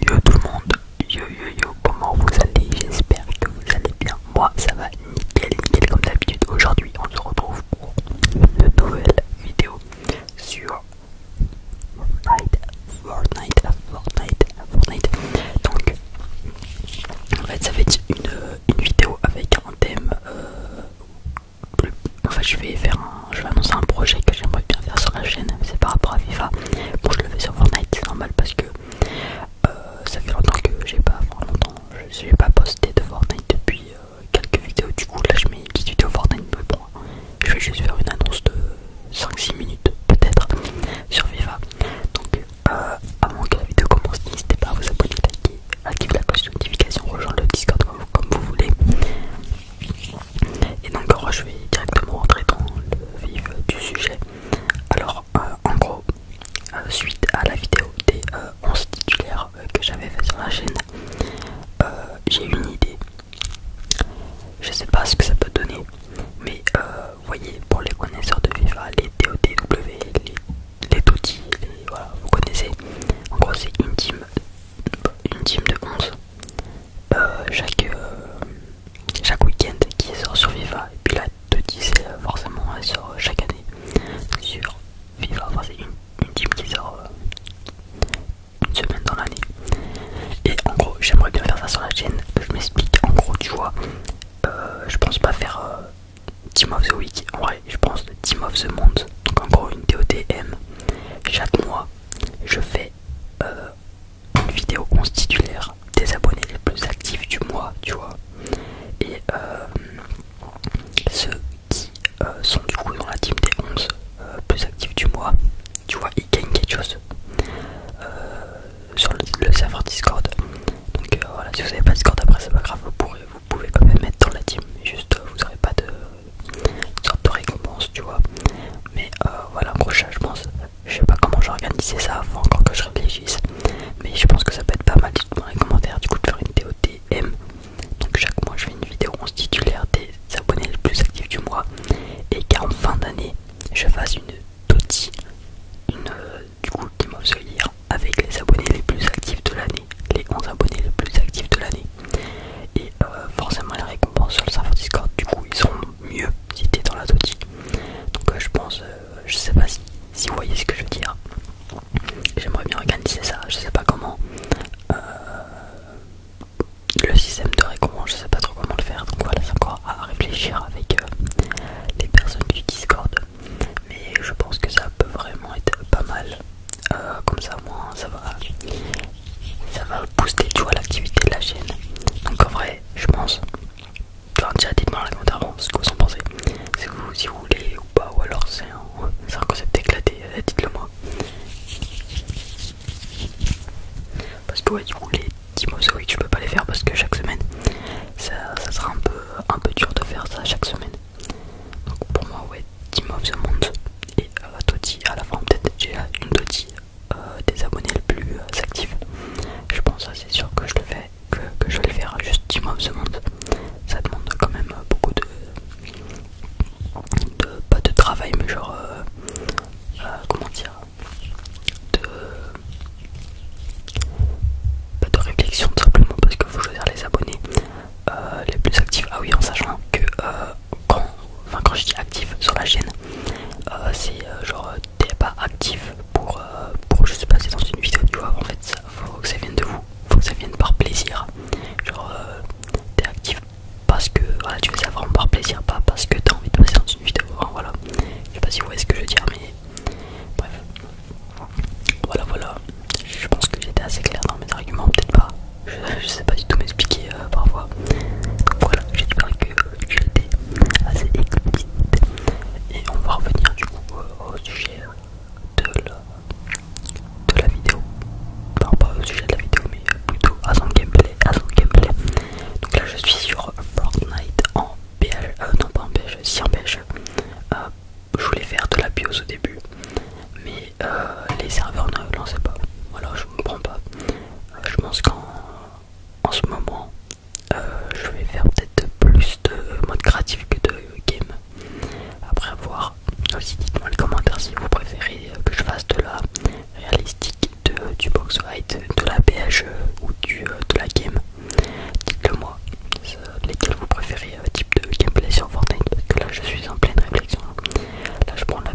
Yo tout le monde, yo yo yo, comment vous allez J'espère que vous allez bien. Moi ça va nickel, nickel comme d'habitude. Aujourd'hui on se retrouve pour une nouvelle vidéo sur Fortnite, Fortnite, Fortnite, Fortnite. Donc en fait ça va être une, vidéo avec un thème. Euh, enfin je vais faire un je vais annoncer un projet que j'aimerais bien faire sur la chaîne, c'est par rapport à FIFA. Bon, je le fais sur Fortnite, c'est normal parce que euh, ça fait longtemps que j'ai pas, longtemps, pas posté de Fortnite depuis euh, quelques vidéos. Du coup, là, je mets une petite vidéo Fortnite, mais bon, je vais juste faire une annonce de 5-6 minutes peut-être sur FIFA. Donc, euh, avant que la vidéo commence, n'hésitez pas à vous abonner, liker, activer la cloche de notification, rejoindre le Discord comme vous voulez. Et donc je vais directement rentrer dans le vif du sujet. Alors euh, en gros, euh, suite à la vidéo des 11 euh, titulaires que j'avais fait sur la chaîne, j'ai une idée. Je sais pas ce que ça peut donner, mais vous voyez, pour les connaisseurs de FIFA, les TOTW, les, vous connaissez. En gros, c'est une team de 11 euh, chaque, euh, chaque week-end qui sort sur Viva. Et puis la 2-10 c'est forcément elle sort euh, chaque année sur Viva. Enfin, c'est une, team qui sort une semaine dans l'année. Et en gros, j'aimerais bien faire ça sur la chaîne. Je m'explique. En gros, tu vois, je pense pas faire Team of the Week. En vrai, je pense Team of the Month. Donc en gros, une TOTM. Chaque mois, je fais une vidéo titulaire des abonnés les plus actifs du mois, tu vois. Et euh, ceux qui euh, sont du coup dans la team des 11 euh, plus actifs du mois, tu vois, ils gagnent quelque chose sur le, serveur Discord. Donc voilà, si vous n'avez pas Discord après, c'est pas grave, vous, vous pouvez quand même mettre dans la team, juste vous n'aurez pas de sorte de récompense, tu vois. Mais euh, voilà, prochain, je pense, je sais pas comment j'organisais ça, avant encore que je réfléchisse. Mais je pense que ça peut être pas mal, de dans les commentaires, du coup, de faire une TOTM. Donc, chaque mois, je fais une vidéo 11 titulaire des abonnés les plus actifs du mois. Et qu'en fin d'année, je fasse une TOTI, une, du coup, qui avec les abonnés les plus actifs de l'année. Les 11 abonnés les plus actifs de l'année. Et euh, forcément, les récompenses sur le serveur Discord, du coup, ils seront mieux si dans la Donc, euh, je pense, euh, je sais pas si, vous voyez ce que je veux dire. J'aimerais bien organiser ça, je sais pas comment. le système de récompense, je sais pas trop comment le faire, donc voilà, c'est encore à réfléchir avec les personnes du Discord. Mais je pense que ça peut vraiment être pas mal. comme ça, moins ça va ça va booster tu vois l'activité de la chaîne donc en vrai je pense enfin, dites-moi en commentaire ce que vous en pensez si vous, si voulez ou pas ou alors c'est un, concept éclaté euh, dites le moi parce que ouais du coup les je peux pas les faire parce que chaque semaine ça, ça sera un peu un peu dur de faire ça chaque semaine donc pour moi ouais Team of the Monde, et euh, à la fin peut-être j'ai une Toti euh, des abonnés les plus euh, actifs je pense c'est sûr que je le fais que, je vais le faire juste Team of the Monde, ça demande quand même beaucoup de, pas de travail mais genre comment dire de pas de réflexion simplement parce que faut choisir les abonnés les plus actifs ah oui en sachant que quand, enfin, quand je dis actif sur la chaîne, euh, c'est euh, genre euh, t'es pas actif pour, pour juste passer dans une vidéo, tu vois. En fait, ça, faut que ça vienne de vous, faut que ça vienne par plaisir. Genre, t'es actif parce que voilà, tu veux savoir par plaisir, pas parce que t'as envie de passer dans une vidéo. Hein, voilà, je sais pas si vous voyez ce que je veux dire, mais bref, voilà, voilà. Je pense que j'étais assez clair dans mes arguments, peut-être pas. Euh, je, ne sais pas du tout m'expliquer euh, parfois. Donc voilà, j'espère que j'étais assez explicite. Et on va revenir du coup euh, au sujet de la, vidéo. Non pas au sujet de la vidéo, mais plutôt à son gameplay. Donc là, je suis sur Fortnite en PH, non pas en PH, si en PH, je voulais faire de la BIOS au début, mais euh, les serveurs ne sais pas. Voilà, je ne comprends pas. Euh, je pense qu'en en ce moment, euh, je vais faire peut-être plus de mode créatif que de game. Après avoir aussi, dites-moi les commentaire si vous préférez que je fasse de la réalistique, du box white, de la PHE ou du, de la game. Dites-le moi, lesquels vous préférez type de gameplay sur Fortnite, parce que là je suis en pleine réflexion. Là je prends la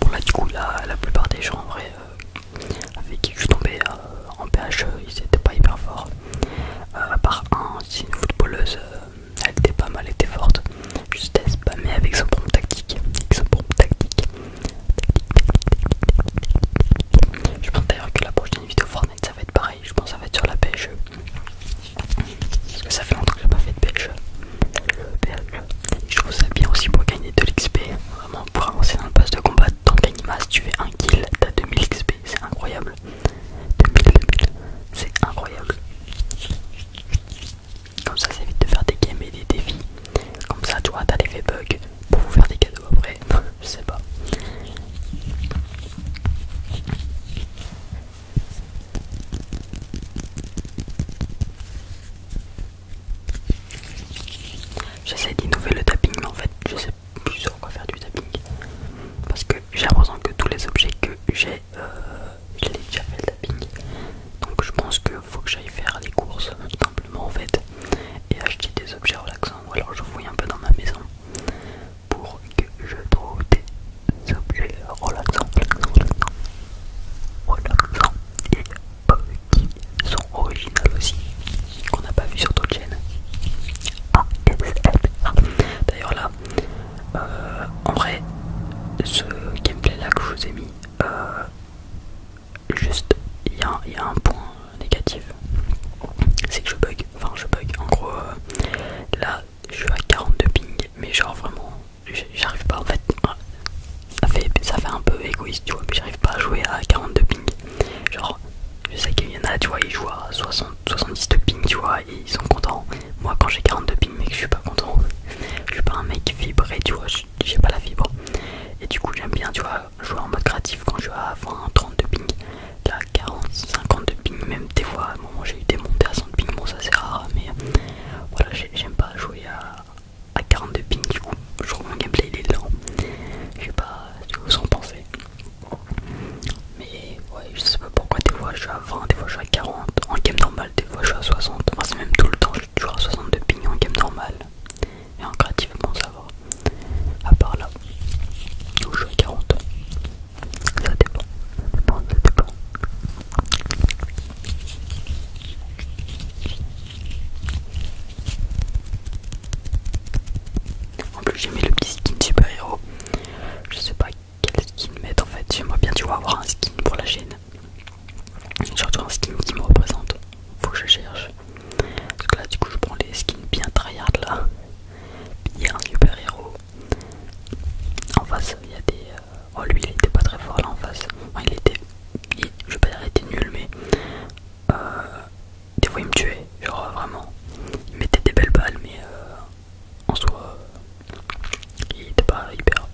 Bon là du coup la plupart des gens en vrai euh, avec qui je suis tombé euh, en PHE euh, ils étaient pas hyper forts à part un si une footballeuse elle était pas mal elle était forte juste pas. mais avec son propre tactique avec son pompe tactique je pense d'ailleurs que la prochaine vidéo Fortnite ça va être pareil, je pense que ça va être sur la pêche Parce que ça fait longtemps que j'ai pas fait de pêche Je trouve ça bien aussi pour gagner de l'XP. Vraiment pour avancer dans le poste de combat, dans gagnes tu fais un kill, t'as 2000 XP, c'est incroyable. 2000, c'est incroyable. Comme ça, ça évite de faire des games et des défis. Comme ça, tu vois, t'as l'effet bugs pour vous faire des cadeaux après, je sais pas. J'essaie d'innover le tapping, mais en fait, je sais plus sur quoi faire du tapping parce que j'ai l'impression que tous les objets que j'ai, euh, déjà fait le tapping donc je pense que faut que j'aille faire des courses simplement en fait et acheter des objets relaxants ou alors je fouille un peu dans ma maison pour que je trouve des objets relaxants, relaxants, relaxants, relaxants et qui sont originales aussi qu'on n'a pas vu sur d'autres chaînes. chaîne. D'ailleurs là, euh, en vrai, ce gameplay là que je vous ai mis, euh, juste il y, a un point euh, négatif c'est que je bug enfin je bug en gros euh, là je suis à 42 ping mais genre vraiment j'arrive pas en fait euh, ça fait ça fait un peu égoïste tu vois mais j'arrive pas à jouer à 42 ping genre je sais qu'il y en a tu vois ils jouent à 70 ping tu vois ils sont contents moi quand j'ai 42 ping mais je suis pas content je suis pas un mec vibré tu vois j'ai pas la fibre et du coup j'aime bien tu vois jouer en mode créatif quand je suis à 20 30 de ping là 40 50 de ping même des fois à un moment j'ai eu des montées à 100 de ping bon ça c'est rare mais euh, voilà j'aime pas jouer à, 40 de ping du coup je trouve mon gameplay il est lent je sais pas ce que vous en mais ouais je sais pas pourquoi des fois je suis à 20 des fois je suis à 40 en game normal des fois je suis à 60 enfin c'est même tout le temps toujours à 62 pignons en game normal. Et en créatif, bon, ça va. À part là, où je joue à 40. Ça dépend. En plus j'ai mis le petit skin super héros. Je sais pas quel skin mettre en fait. J'aimerais bien tu vois avoir un skin pour la chaîne. J'ai Surtout un skin qui me représente. Faut que je cherche. Parce que là, du coup, je prends les skins bien tryhard là. Il y a un super héros. En face, il y a des. Euh, oh, lui, il était pas très fort là en face. il était. Je vais pas dire était nul, mais. Euh, des fois, il me tuait. Genre, euh, vraiment. Il mettait des belles balles, mais. En soit il était pas hyper.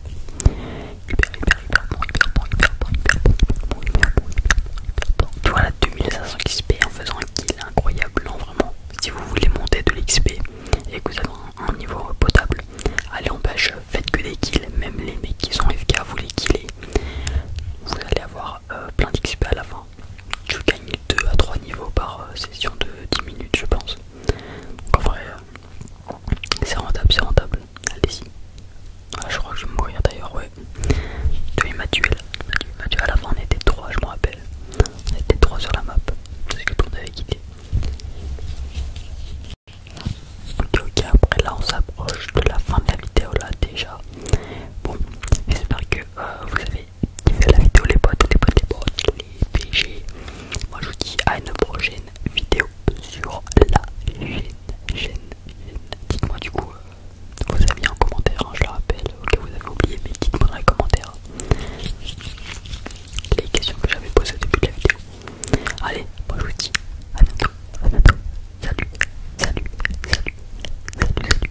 Tu vois là 2500 XP en faisant un kill incroyable, non vraiment. Si vous voulez monter de l'XP et que vous avez un, un niveau potable, allez en pêche, faites que des kills, même les mecs qui sont FK, vous les killez, vous allez avoir euh, plein d'XP à la fin. Tu gagnes 2 à 3 niveaux par euh, session de 10 minutes je pense. en vrai, euh, c'est rentable, c'est rentable allez-y. Ah, je crois que je vais mourir d'ailleurs, ouais. Il m'a tué là. à la fin, on était trois, je me rappelle. On était trois sur la map. Parce que tout le monde avait quitté. Ok, après là on s'approche de la fin de la vidéo là déjà. Bon, j'espère que euh, vous avez kiffé la vidéo, les potes, les potes, les potes, les PG. Moi je vous dis à une prochaine vidéo sur la chaîne. Gêne, Dites-moi du coup vous euh, vos amis en commentaire, hein, je le rappelle, que vous avez oublié, mais dites-moi dans les commentaires les questions que j'avais posées au début de la vidéo. Allez, moi je vous dis à bientôt, à bientôt, salut, salut, salut, salut, salut.